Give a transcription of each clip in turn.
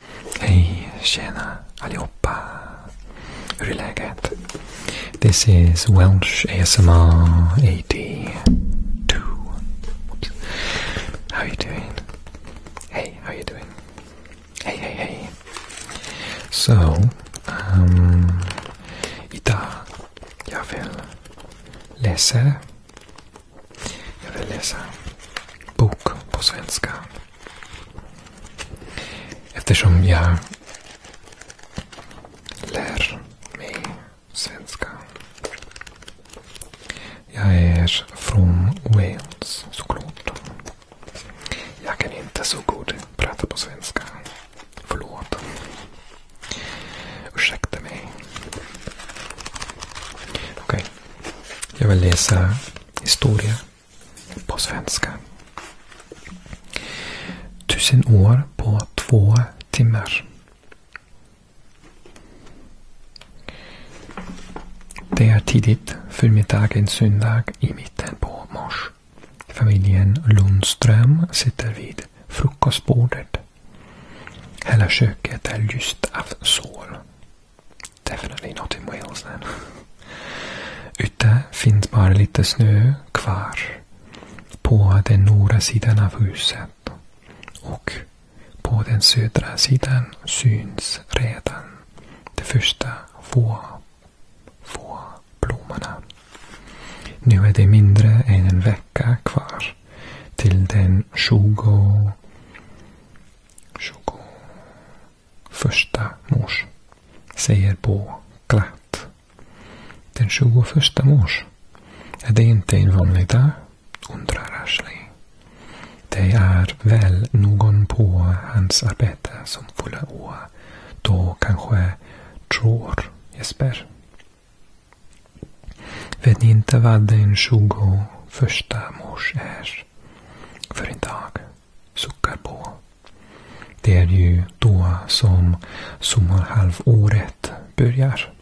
Hey, Hej, tjena allihopa! Hur är läget? This is Welsh ASMR AD Oops. How are you doing? Hey, how are you doing? Hey, hey, hey. So, um, idag jag vill läsa jag vill läsa bok på svenska. Eftersom jag lär mig svenska. Jag är från Wales såklart. Jag kan inte så god prata på svenska. Förlåt. Ursäkta mig. Okej. Okay. Jag vill läsa historia på svenska. Tusen år på två timmar. Det är tidigt förmiddagen söndag i mitten på mars. Familjen Lundström sitter vid frukostbordet. Hela köket är lyst av sol. Definitely not in Wales then. Ute finns bara lite snö kvar på den norra sidan av huset. Och på den södra sidan syns redan de första få, få blommorna. Nu är det mindre än en vecka kvar till den 20 första mors säger på glatt. Den 21 mors. är det inte en vanlig dag, undrar Ashley. Det är väl någon på hans arbete som fyller år. Då kanske tror Jesper. Vet ni inte vad den 21 mors är? för idag suckar på. Det är ju då som sommarhalvåret börjar.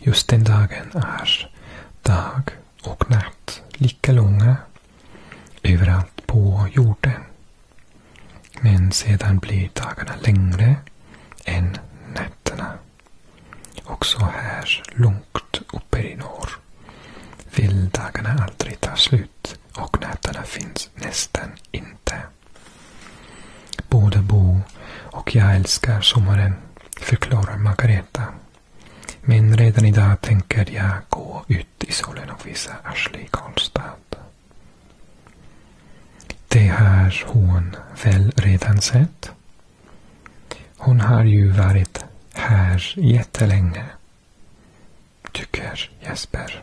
Just den dagen är dag och natt lika långa överallt på jorden. Men sedan blir dagarna längre än nätterna. Också här långt uppe i norr. Vildagarna aldrig tar slut och nätterna finns nästan inte. Både Bo och jag älskar sommaren, förklarar Margareta. Men redan idag tänker jag gå ut i solen och visa Ashley Karlstad. Det har hon väl redan sett? Hon har ju varit här jättelänge. Tycker Jesper.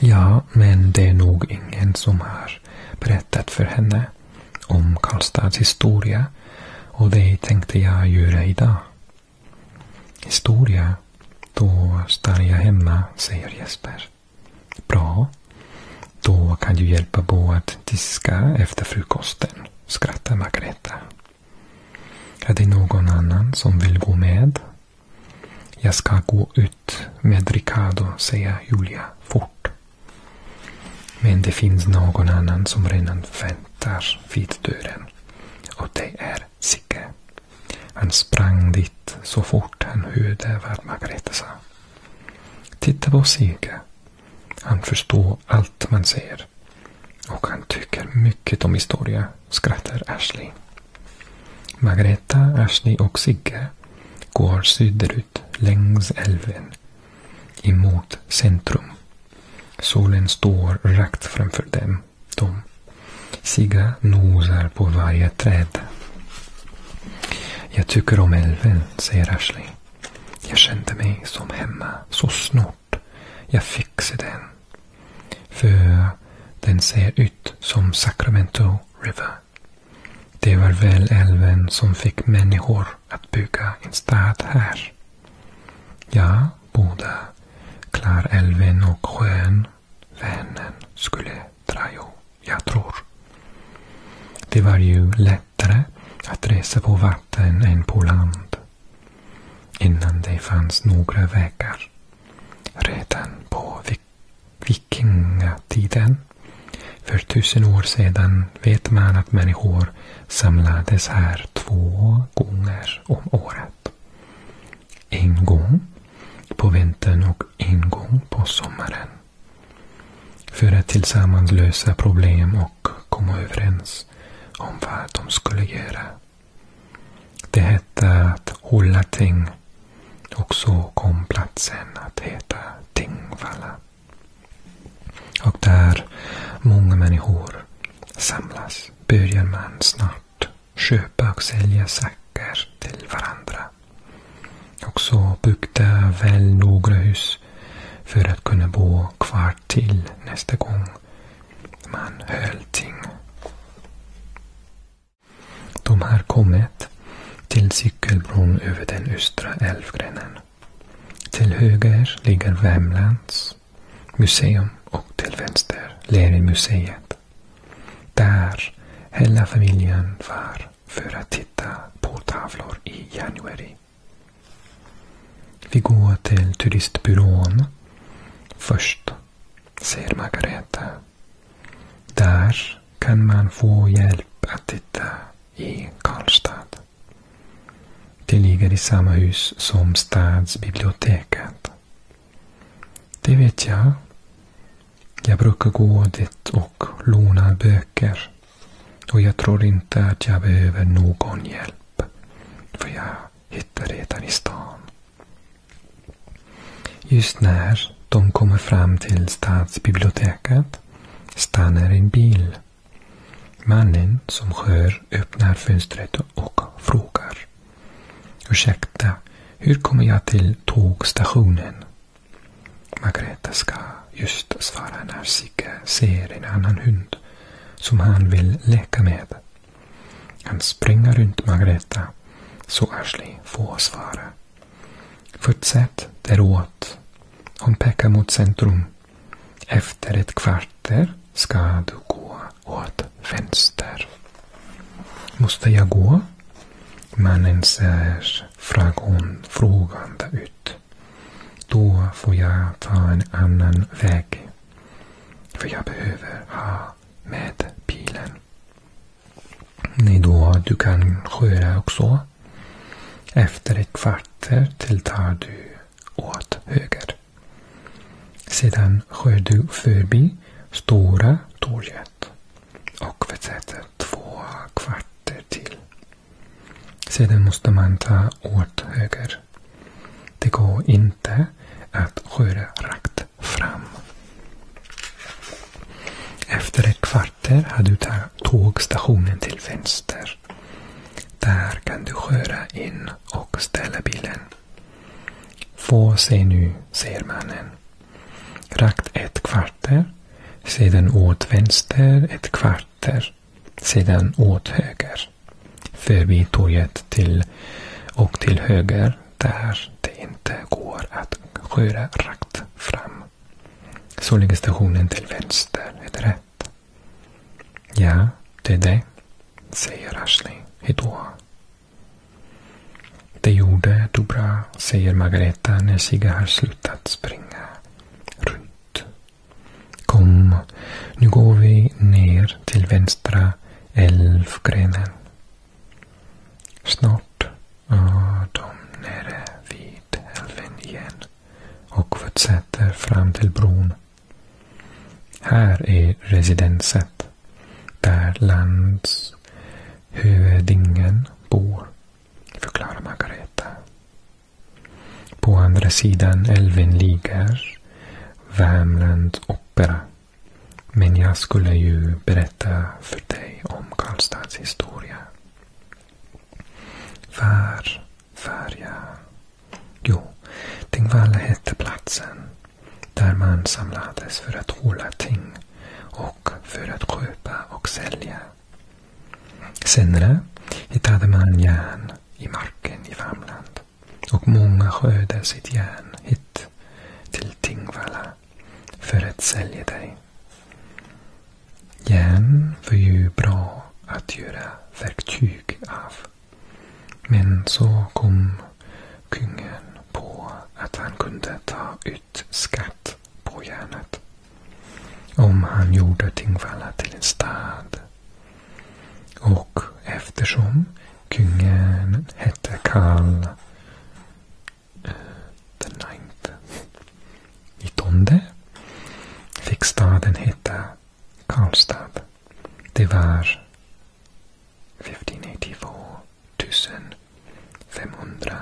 Ja, men det är nog ingen som har berättat för henne om Karlstads historia och det tänkte jag göra idag. Historia? Då stannar jag hemma, säger Jesper. Bra. Då kan du hjälpa på att diska efter frukosten, skrattar Margareta. Är det någon annan som vill gå med? Jag ska gå ut med Ricardo, säger Julia fort. Men det finns någon annan som redan väntar vid dörren. Och det är Sigge. Han sprang dit så fort han hörde vad Margareta sa. Titta på Sigge. Han förstår allt man säger. Och han tycker mycket om historia, skrattar Ashley. Margareta, Ashley och Sigge går söderut längs älven emot centrum. Solen står rakt framför dem. De Sigga nosar på varje träd. Jag tycker om älven, säger Ashley. Jag kände mig som hemma, så snö bort. Jag fixar den. För den ser ut som Sacramento River. Det var väl älven som fick människor att bygga en stad här. Ja, både Klarälven och sjön Vänern skulle dra Jo, jag tror. Det var ju lätt lättare att resa på vatten än på land. Innan det fanns några vägar. Redan på vikingatiden, för tusen år sedan, vet man att människor samlades här två gånger om året. En gång på vintern och en gång på sommaren. För att tillsammans lösa problem och komma överens om vad de skulle göra. Det hette att hålla ting och så kom platsen att heta Tingvalla. Och där många människor samlas börjar man snart köpa och sälja saker till varandra. Och så byggde väl några hus för att kunna bo kvar snart till nästa gång man höll ting. De har kommit till cykelbron över den östra älvgrenen. Till höger ligger Värmlands museum och till vänster Leninmuseet. Där hela familjen var för att titta på tavlor i januari. Vi går till turistbyrån först, säger Margareta. Där kan man få hjälp att titta i Karlstad. Det ligger i samma hus som stadsbiblioteket. Det vet jag. Jag brukar gå dit och låna böcker. Och jag tror inte att jag behöver någon hjälp hjälp. För jag hittar redan i stan. Just när de kommer fram till stadsbiblioteket stannar en bil. Mannen som hör öppnar fönstret och frågar. Ursäkta, hur kommer jag till tågstationen? Margareta ska just svara när Sigge ser en annan hund som han vill leka med. Han springer runt Margareta så Ashley får svara. Fortsätt däråt. Hon pekar mot centrum. Efter ett kvarter ska du gå åt vänster. Måste jag gå? Mannen ser frågan frågande ut. Då får jag ta en annan väg. För jag behöver ha med bilen. Nej då, du kan sköra också. Efter ett kvarter tilltar du åt höger. Sedan skär du förbi Stora torget och fortsätter två kvarter till. Sedan måste man ta åt höger. Det går inte att köra rakt fram. Efter ett kvarter har du tågstationen till vänster. Där kan du köra in och ställa bilen. Få se nu, säger mannen. Rakt ett kvarter, sedan åt vänster ett kvarter, sedan åt höger förbi torget till och till höger där det inte går att köra rakt fram. Så ligger stationen till vänster, är det rätt? Ja, det är det, säger Ashley. då. Det gjorde du bra, säger Margareta när Sigge har slutat springa runt Kom, nu går vi ner till vänstra älvgrenen. Snart är de nere vid älven igen och fortsätter fram till bron. Här är residenset där landshövdingen bor, förklarar Margareta. På andra sidan älven ligger Värmland opera. Men jag skulle ju berätta för dig om Karlstads historia. Var var jag? Jo, Tingvalla hette platsen där man samlades för att hålla ting och för att köpa och sälja. Senare hittade man järn i marken i Värmland och många skördar sitt järn hit till Tingvalla för att sälja dig. Järn var ju bra att göra verktyg av. Men så kom kungen på att han kunde ta ut skatt på järnet. Om han gjorde Tingvalla till en stad och eftersom kungen hette Karl den ninth i fick staden heta Karlstad. Det var 1582 584.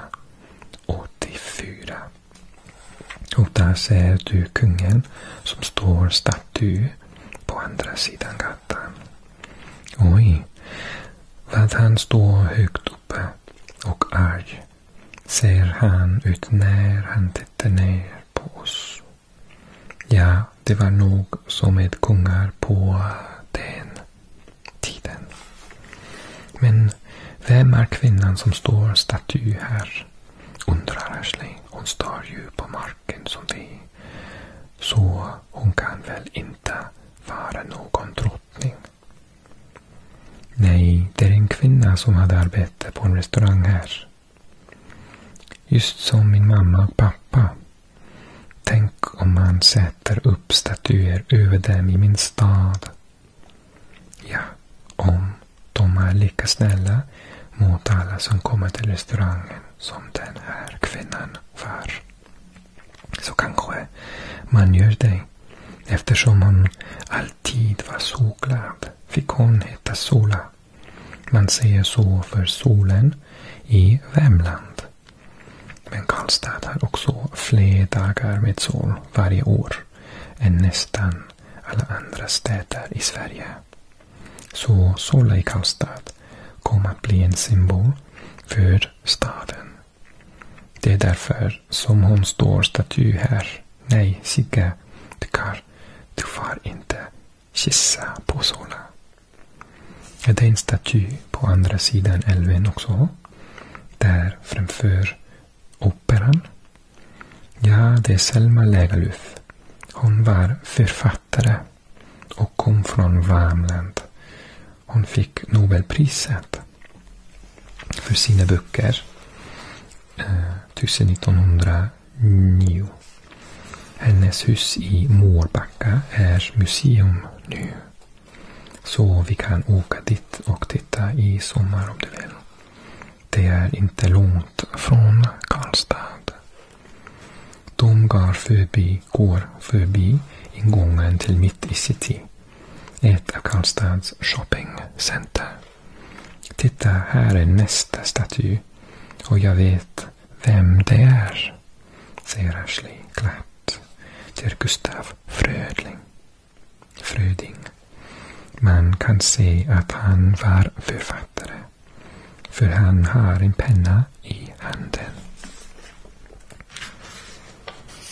Och där ser du kungen som står stark du på andra sidan gatan. Oj, vad han står högt uppe och arg ser han ut när han tittar ner på oss. Ja, det var nog som med kungar på den tiden. Men vem är kvinnan som står staty här? undrar Ashley. Hon står ju på marken marken som vi. Så hon kan väl inte vara någon drottning? Nej, det är en kvinna som hade arbete på en restaurang här. Just som min mamma och pappa. Tänk om man sätter upp statyer över dem i min stad. Ja, om de är lika snälla mot alla som kommer till restaurangen som den här kvinnan var. Så kanske man gör det. Eftersom hon alltid var så glad fick hon heta Sola. Man säger så för solen i Värmland. Men Karlstad har också fler dagar med sol varje år än nästan alla andra städer i Sverige. Så Solle Karlstad kom att bli en symbol för staden. Det är därför som hon står staty här. Nej, Sigge, du kan, du får inte kissa på Sola. Är det en staty på andra sidan älven också? Där framför operan? Ja, det är Selma Lagerlöf. Hon var författare och kom från Värmland. Hon fick Nobelpriset för sina böcker eh, 1909. Hennes hus i Mårbacka är museum nu. Så vi kan åka dit och titta i sommar om du vill. Det är inte långt från Karlstad. De går förbi, går förbi ingången till mitt i city. Ett av Karlstads shoppingcenter. Titta, här är nästa staty. Och jag vet vem det är. Säger Ashley glatt till Gustav Frödling. Fröding. Man kan se att han var författare författare. För han har en penna i handen.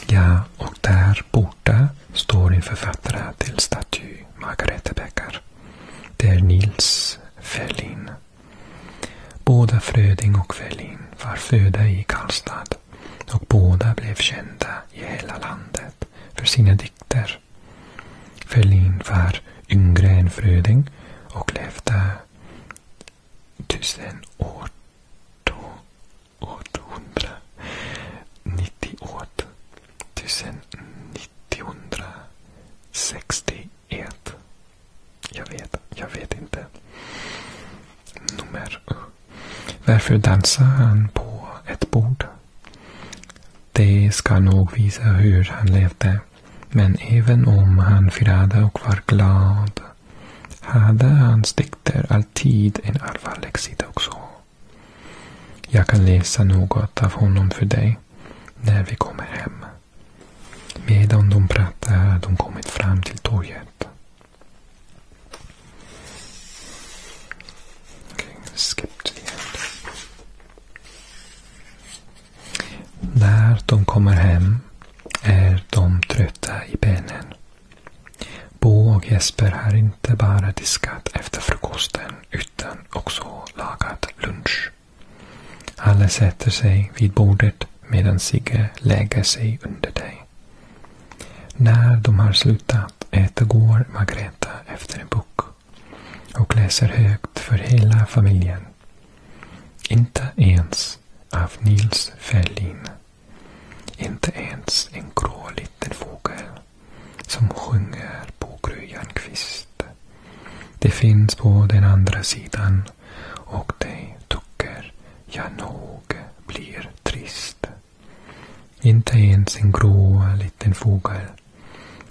Ja, och där borta står en författare till staty Margareta Becker. Det är Nils Ferlin. Båda Fröding och Ferlin var födda i Karlstad och båda blev kända i hela landet för sina dikter ålder. Ferlin var yngre än Fröding och levde tusen år 898 1961. Jag vet, jag vet inte. Varför dansar han på ett bord? Det ska nog visa hur han levde men även om han firade och var glad hade hans dikter alltid en allvarlig sida också. Jag kan läsa något av honom för dig när vi kommer hem. Medan de pratar har de kommit fram till torget. Okay, när de kommer hem är de trötta i benen. Bo och Jesper har inte bara diskat efter frukosten utan också lagat lunch. Alla sätter sig vid bordet medan Sigge lägger sig under dig. När de har slutat äta går Margareta efter en bok och läser högt för hela familjen. Inte ens av Nils Ferlin. Inte ens en grå liten fågel som sjunger på kvist. Det finns på den andra sidan och det tycker jag nog blir trist. Inte ens en grå liten fågel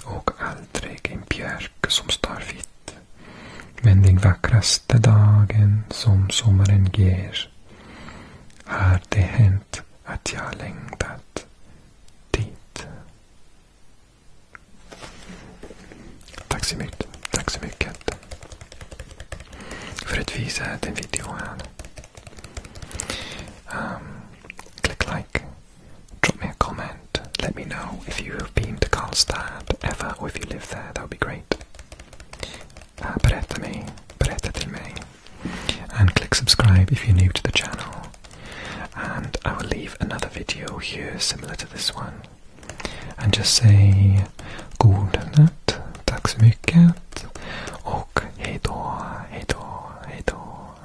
och aldrig en björk som står vitt. Men den vackraste dagen som sommaren ger har det hänt att jag längtat dit. Tack så mycket. Tack så mycket för att visa den videon. Um, click like. Drop me a comment, let me know if you have been to Karlstad ever or if you live there, that would be great. Uh, berättami, berättatemi me, and click subscribe if you're new to the channel. And I will leave another video here similar to this one. And just say god natt, tack så mycket och hejdå, hejdå, hejdå.